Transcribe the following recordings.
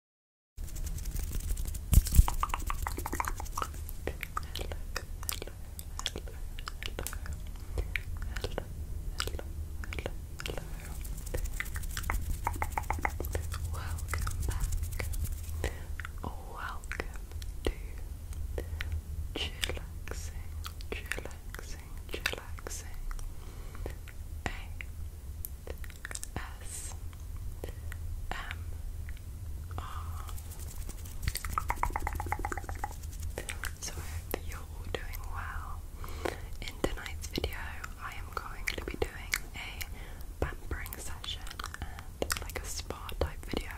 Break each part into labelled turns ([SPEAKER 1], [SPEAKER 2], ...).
[SPEAKER 1] Welcome back. Welcome to chillaxing, chillaxing, chillaxing. A S M R. So you're doing well. In tonight's video, I am going to be doing a pampering session and like a spa type video,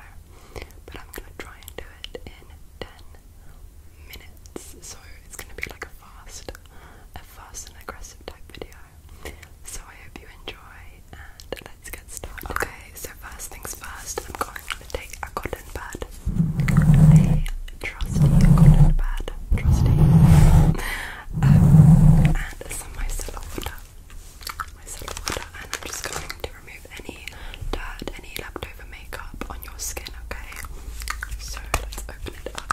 [SPEAKER 1] but I'm gonna try and do it in 10 minutes. So it's gonna be like a fast a fast and aggressive type video. So I hope you enjoy and let's get started. Okay, so first things first, I'm going to take a cotton pad. A trusty cotton pad. Trusty. um, and some micellar water. Micellar water and I'm just going to remove any dirt, any leftover makeup on your skin, okay? So let's open it up.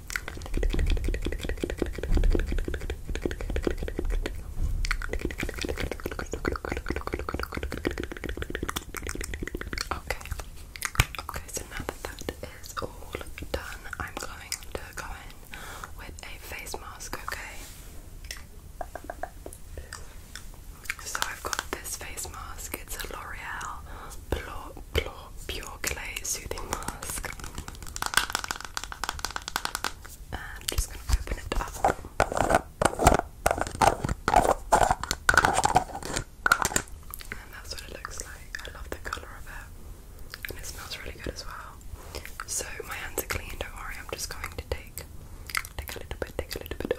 [SPEAKER 1] Okay. Okay, so now that that is all done, I'm going to go in with a face mask, okay? So I've got this face mask, it's a L'Oreal Pure Clay Soothing Mask. And I'm just going to open it up. And that's what it looks like. I love the colour of it. And it smells really good as well. So my hands are clean, don't worry, I'm just going to take take a little bit, take a little bit,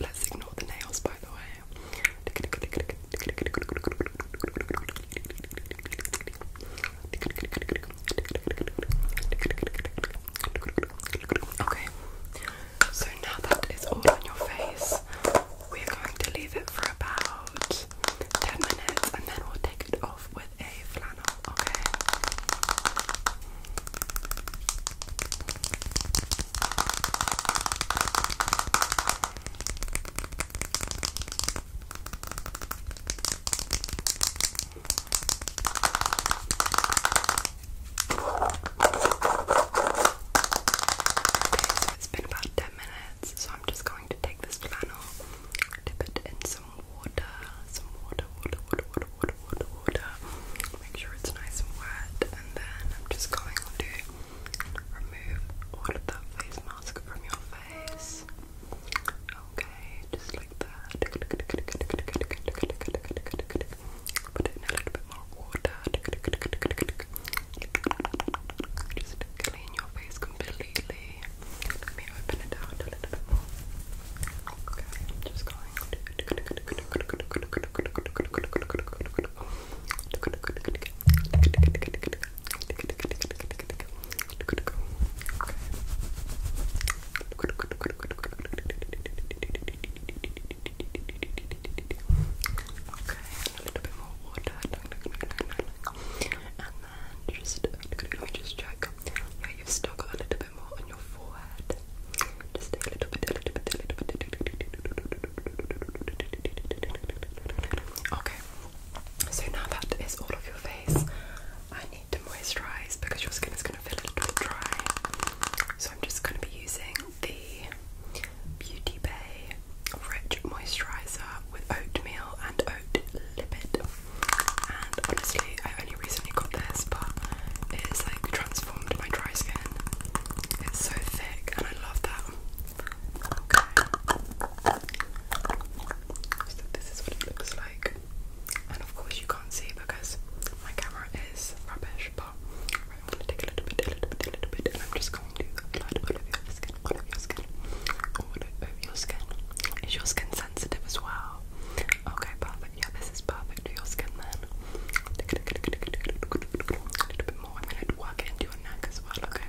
[SPEAKER 1] Let's ignore the nails, by the way. Okay, so now that is all on your face, we're going to leave it for about 10 minutes and then we'll take it off with a flannel, Okay, Okay, so it's been about 10 minutes, so I'm just going to take this flannel, dip it in some water, some water, water, water, water, water, water, water, make sure it's nice and wet, and then I'm just going to remove all of that face mask from your face. Okay, just like that. Put in a little bit more water. Just clean your face completely. Let me open it out just going a little bit more water. And then just let me just check. Yeah, you've still a little bit more on your forehead. Just a little bit, a little bit, a little bit. Okay. So now that is all of your face, I need to moisturize because your skin is going to feel a little bit dry. I'm just going to be using the Beauty Bay Rich Moisturiser with oatmeal and oat lipid. And honestly, I have only recently got this, but it is like transformed my dry skin. It's so thick, and I love that. Okay. So this is what it looks like and of course you can't see because my camera is rubbish but I'm gonna take a little bit, a little bit, a little bit and I'm just going to apply it all over your skin, all over your skin, all over your skin is your skin sensitive as well? okay perfect, yeah this is perfect for your skin then a little bit more, I'm gonna work into your neck as well, okay?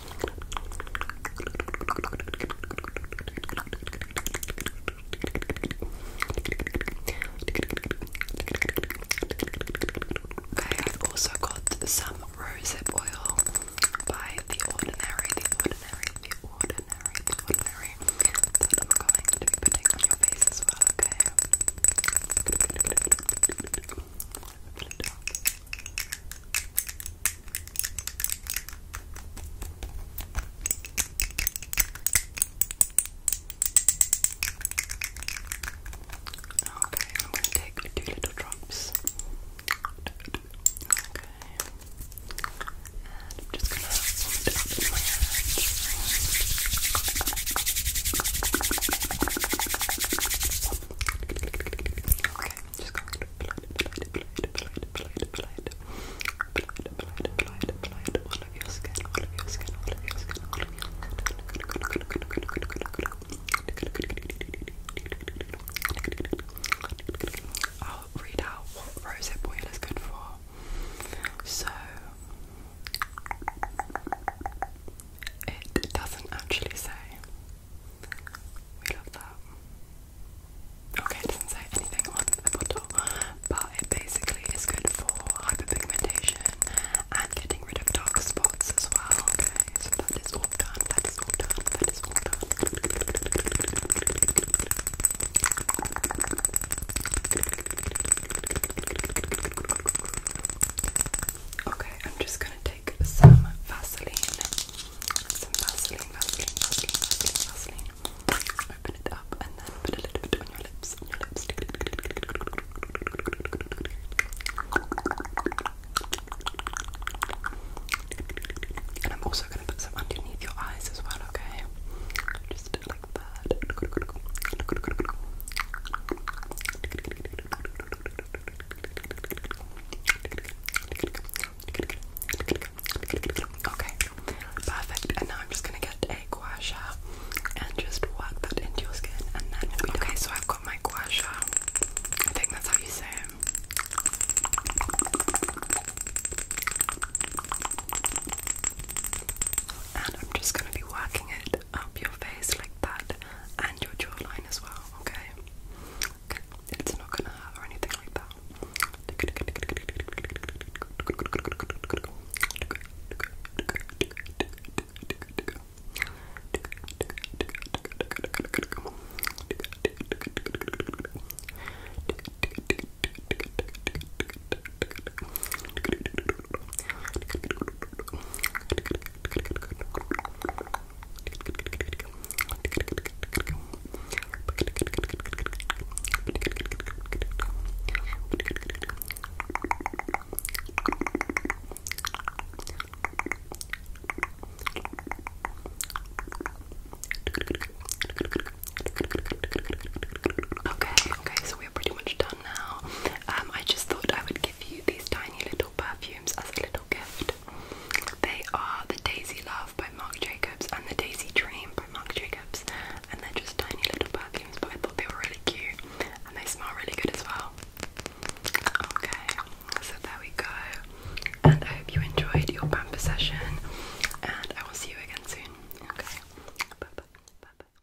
[SPEAKER 1] Okay, I've also got some rose oil by The Ordinary, The Ordinary, The Ordinary, The Ordinary I'm going to be putting on your face as well, okay? Okay, I'm going to take two little drops. Okay. And I'm just going to put it up in my hand. Okay. Just going to blind, blind, blind, blind, blind, blind, blind, blind, blind, blind, all of your skin, all of your skin, all of your skin, I'll read out what rose oil is good for. So it doesn't actually say. We love that. Okay, it doesn't say anything on the bottle, but it basically is good for hyperpigmentation and getting rid of dark spots as well. Okay, so that is all done, that is all done, that is all done. Okay, I'm just take some Vaseline. Some Vaseline, Vaseline, Vaseline, Vaseline, Open it up and then put a little bit on your lips. And I'm also gonna put some underneath your eyes as well, okay? Just like that. Okay, perfect. And now I'm just gonna get a gua sha and just work that into your skin, and then we'll be okay. So I've got my gua sha. I think that's how you say it. And I'm just gonna be working it up your face like that and your jawline as well, okay? Okay, it's not gonna hurt or anything like that. Okay, okay, so we're pretty much done now. Um, I just thought I would give you these tiny little perfumes as a little gift. They are the Daisy Love by Marc Jacobs and the Daisy Dream by Marc Jacobs, and they're just tiny little perfumes, but I thought they were really cute and they smell really good as well. Okay, so there we go. And I hope you enjoyed your pamper session, and I will see you again soon. Okay, Bye bye.